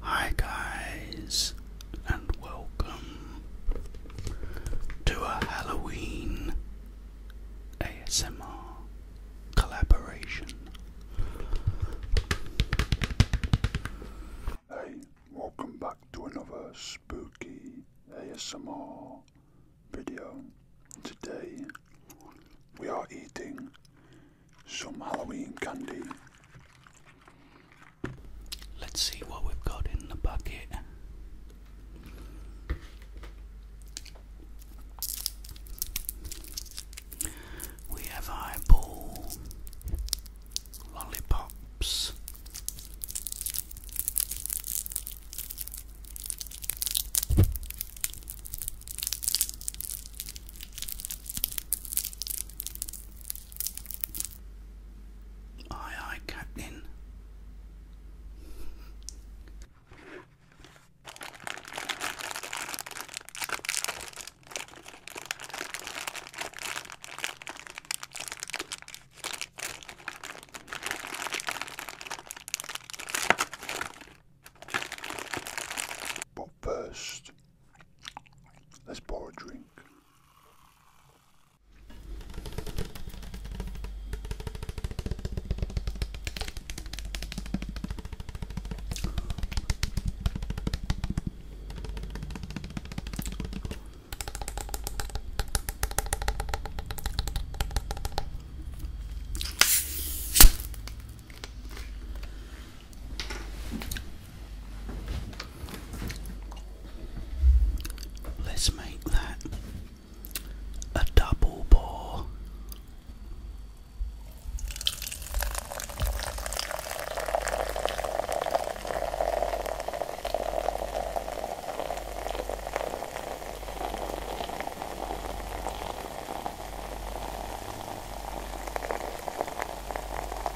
Hi, guys, and welcome to a Halloween ASMR collaboration. Hey, welcome back to another spooky ASMR video. Today we are eating some Halloween candy. Let's see what we've got in the bucket. We have eyeball, lollipops, Aye, aye, Captain. But first, Let's pour a drink. Let's make that a double ball.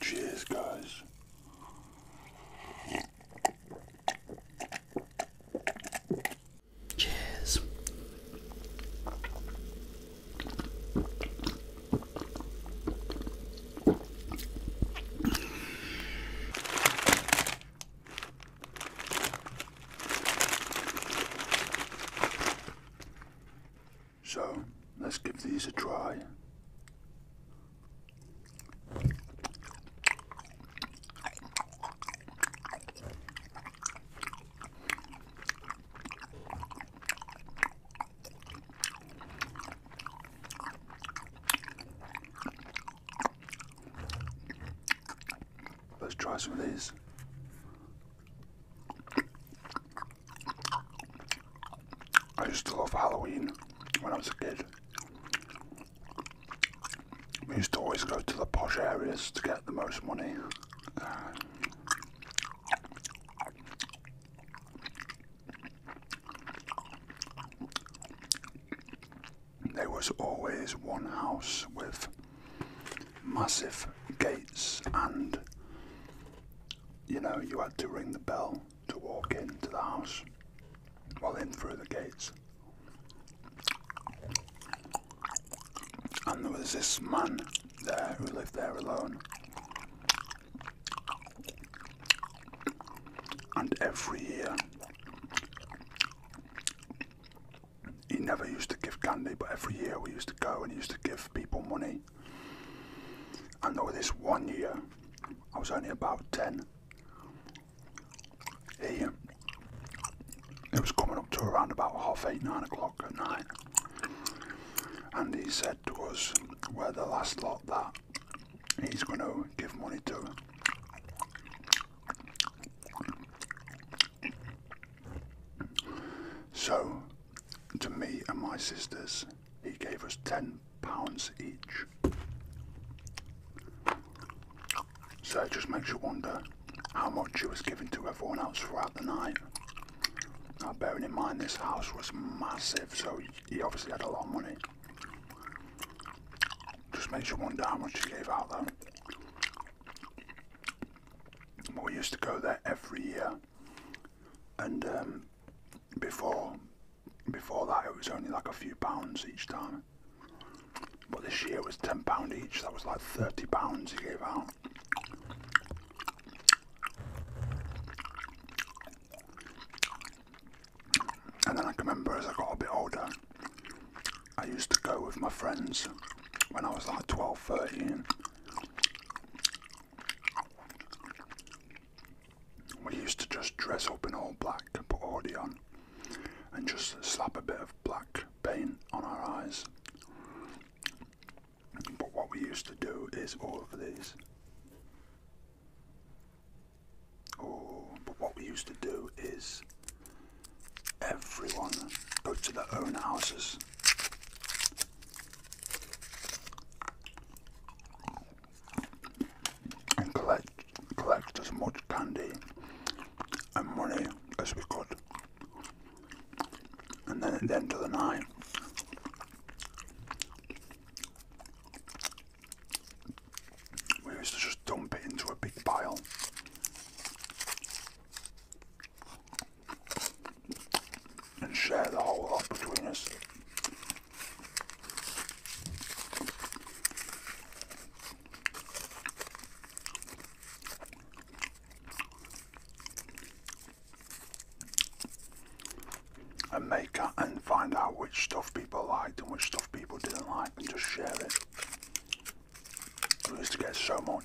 Cheers, guys. Cheers. So let's give these a try. Let's try some of these. I used to love Halloween when I was a kid. We used to always go to the posh areas to get the most money. there was always one house with massive gates, and you know, you had to ring the bell to walk into the house. Well, in through the gates. And there was this man there who lived there alone. And every year, he never used to give candy, but every year we used to go and used to give people money. And there was this one year, I was only about 10, he, it was coming up to around about half eight, nine o'clock at night, and he said to us, "We're the last lot that he's going to give money to." So, to me and my sisters, he gave us ten pounds each. So it just makes you wonder how much he was giving to everyone else throughout the night. Now bearing in mind this house was massive, so he obviously had a lot of money. Just makes you wonder how much he gave out though. We used to go there every year, and um, before before that it was only like a few pounds each time. But this year it was £10 each, that was like £30 he gave out. And then I can remember as I got a bit older, I used to go with my friends when I was like 12, 13. We used to just dress up in all black and put Audi on and just slap a bit of black paint on our eyes. But what we used to do is all of these. Oh, but what we used to do is everyone go to their own houses. And collect collect as much candy and money as we could. And then at the end of the night, we used to just dump it into a big pile. And share the whole lot between us and make it and find out which stuff people liked and which stuff people didn't like and just share it. We used to get so much.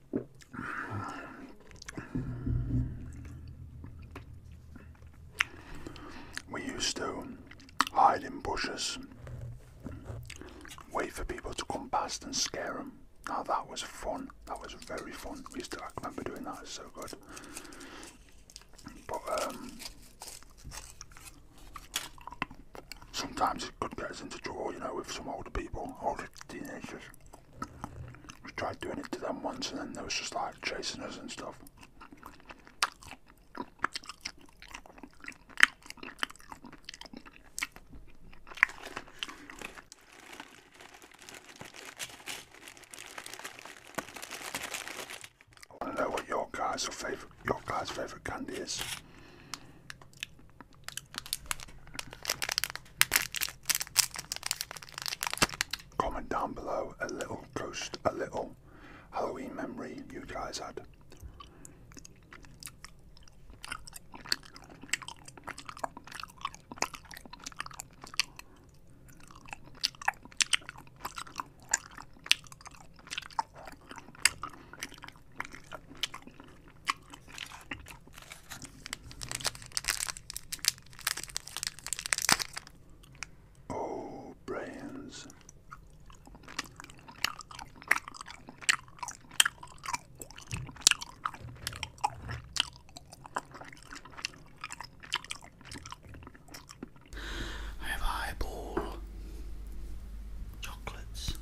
We used to hide in bushes, wait for people to come past and scare them. Now that was fun. That was very fun. We used to, I remember doing that. It's so good. But um, sometimes it could get us into trouble, you know, with some older people, older teenagers. We tried doing it to them once and then they was just like chasing us and stuff. I want to know what your guys' favorite your guys' favorite candy is. Comment down below a little ghost, a little Halloween memory you guys had. Oh, brands. I have highball chocolates.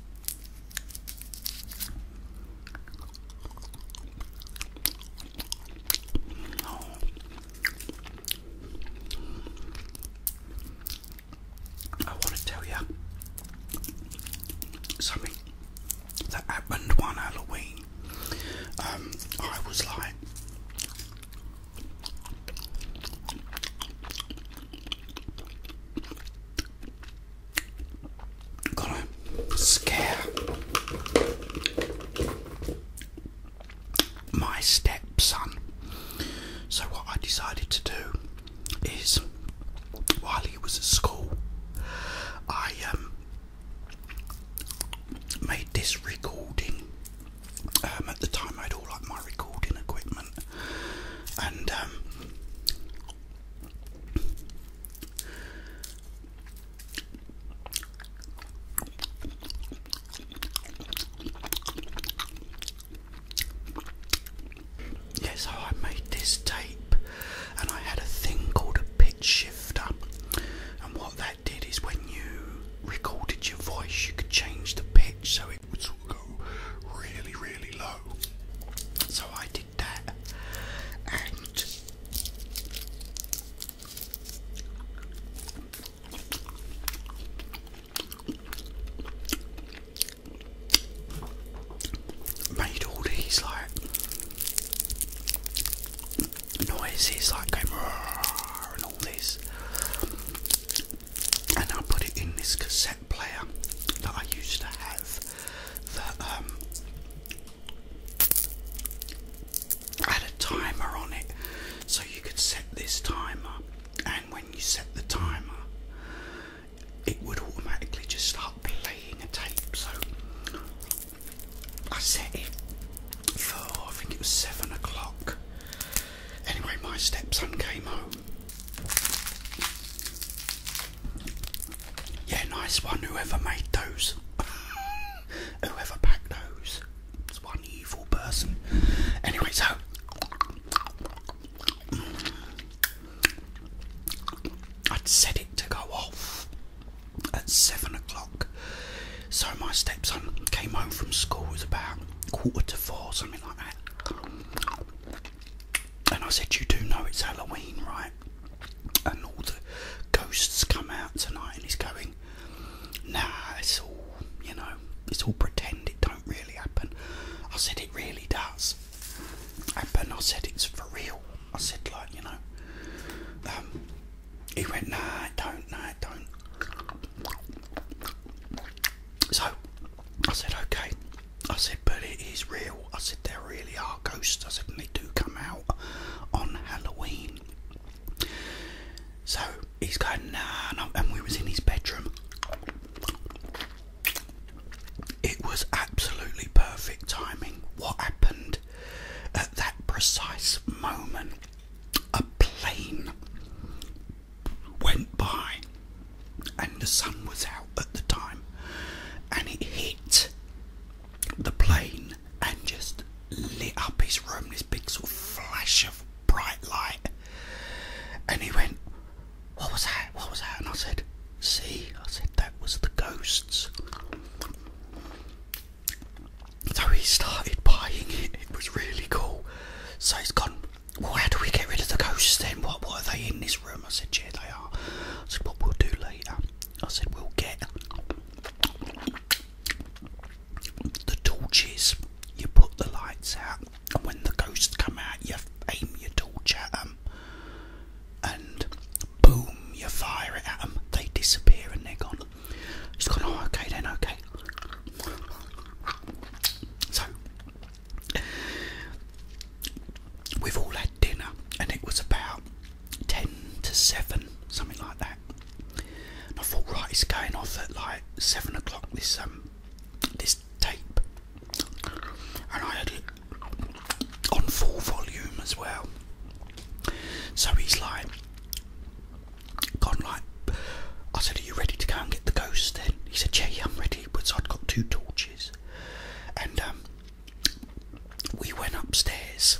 I want to tell you something that happened one Halloween. Um, I was like, got to scare my stepson. So, what I decided to do is while he was at school, I um, made this recording. Um, at the time, I had all like my recording equipment, and um, Yes, I made this tape and I had a thing called a pitch shifter. And what that did is when you recorded your voice, you could change the pitch so it would go really, really low. So I did did And made all these like noises like going and all this and I put it in this cassette player that I used to have that um I had a timer on it so you could set this timer, and when you set the timer, it would automatically just start playing a tape. So I set it for I think it was seven o'clock. Anyway, my stepson came home. Yeah, nice one, whoever made those. whoever packed those. It's one evil person. Anyway, so. I'd set it to go off at seven o'clock. So my stepson came home from school, it was about quarter to four, something like that. And I said, You do know it's Halloween, right? and all the ghosts come out tonight, and he's going, nah, it's all, you know, it's all pretend, it don't really happen. I said it really does happen, I said it's for real, I said like, you know, um, he went, nah, it don't, nah, it don't. So I said, okay. I said, but it is real. I said, there really are ghosts. I said, they do come out on Halloween. So he's going, nah, no. and we was in his bedroom. It was absolutely perfect timing. What happened at that precise moment? A plane went by, and the sun was out at the time, and it hit the plane and just lit up his room, this big sort of flash of bright light. And he went, What was that? What was that? And I said, See, I said, that was the ghosts. So he started buying it, it was really cool. So he's gone, Well, how do we get rid of the ghosts then? What, what are they in this room? I said, Yeah, they are. I said, What we'll do later I said, we'll get the torches, you put the lights out, and when the ghosts come out, you aim your torch at them, and boom, you fire it at them, they disappear and they're gone. He's gone, oh, okay then, okay. So, we've all had dinner, and it was about ten to seven, something like that. And I thought, right, it's going off at like seven o'clock. This um, this tape, and I had it on full volume as well. So he's like, gone like. I said, are you ready to go and get the ghost? Then he said, yeah, yeah, I'm ready. But I'd got two torches, and um, we went upstairs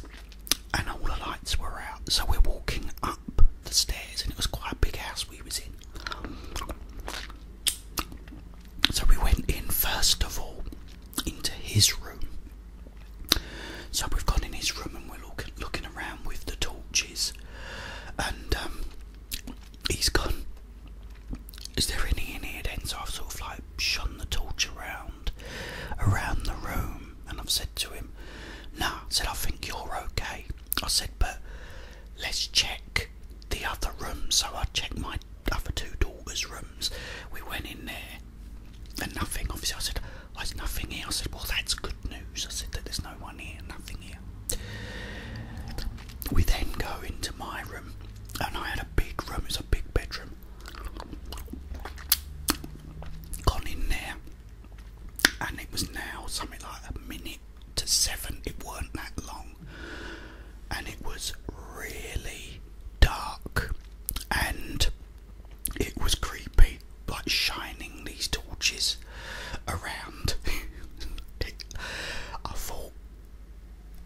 and all the lights were out, so we're walking up the stairs, and it was quite a big house we was in. So we went in first of all into his room. So we've gone in his room and we're looking around with the torches, and um, he's gone. Is there any in here then? So I've sort of like shone the torch around, around the room, and I've said to him, "Nah," I said, "I think you're okay." I said, "But let's check the other room." So I checked my other two daughters' rooms. We went in there, and nothing. Obviously, I said, well, "There's nothing here." I said, "Well, that's good news." I said that there's no one here, nothing here. We then go into my room, and I had a big room. It's a big bedroom, Gone in there, and it was now something like a minute to seven. It weren't that long, and it was really dark, and it was creepy, like shining these torches around. I thought.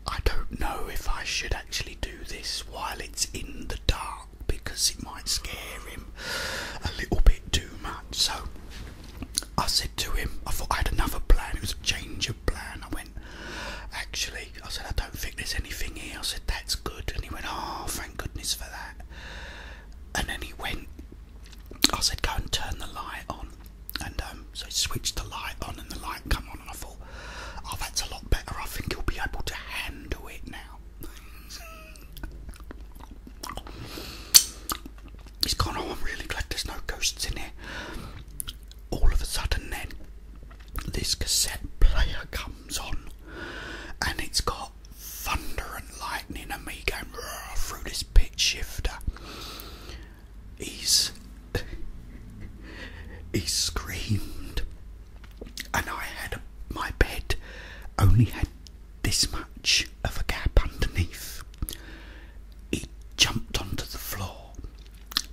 I don't know if I should actually do this while it's in the dark because it might scare him a little bit too much. So I said to him, I thought I had another plan, it was a change of plan. I went, actually, I said, I don't think there's anything here. I said, that's good. And he went, oh, thank goodness for that. And then he went, I said, go and turn the light on. And um, so he switched the light on and the light come on and I fall. Oh, that's a lot better. I think you'll be able to handle it now. He's gone, oh, I'm really glad there's no ghosts in here. All of a sudden, then, this cassette player comes on and it's got thunder and lightning and me going through this pitch shifter. He's. he screamed and I had my bed only had this much of a gap underneath. It jumped onto the floor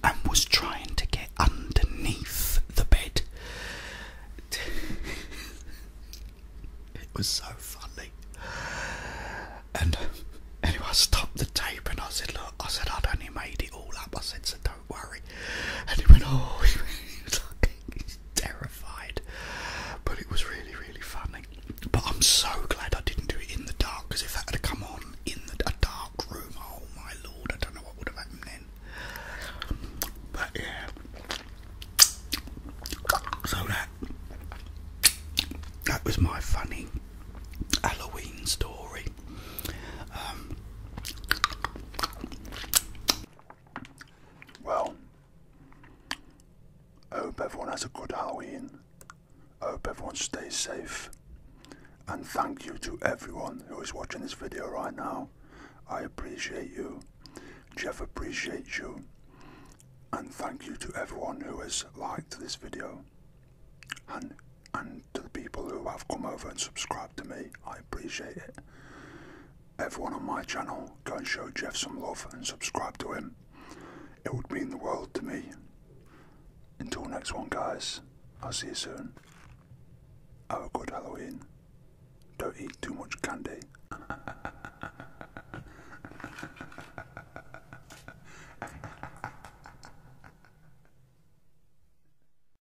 and was trying to get underneath the bed. it was so funny. And anyway, I stopped the tape and I said, Look, I said, I'd only made it all up. I said, So worry. And he went, oh, he was like, terrified. But it was really, really funny. But I'm so glad I didn't do it in the dark, because if that had come on in a dark room, oh my lord, I don't know what would have happened then. But yeah. So that that was my funny Halloween story. Um, well, I hope everyone has a good Halloween. I hope everyone stays safe. And thank you to everyone who is watching this video right now. I appreciate you. Jeff appreciates you. And thank you to everyone who has liked this video and and to the people who have come over and subscribed to me. I appreciate it. Everyone on my channel, go and show Jeff some love and subscribe to him. It would mean the world to me. Until next one, guys, I'll see you soon. Have a good Halloween. Don't eat too much candy.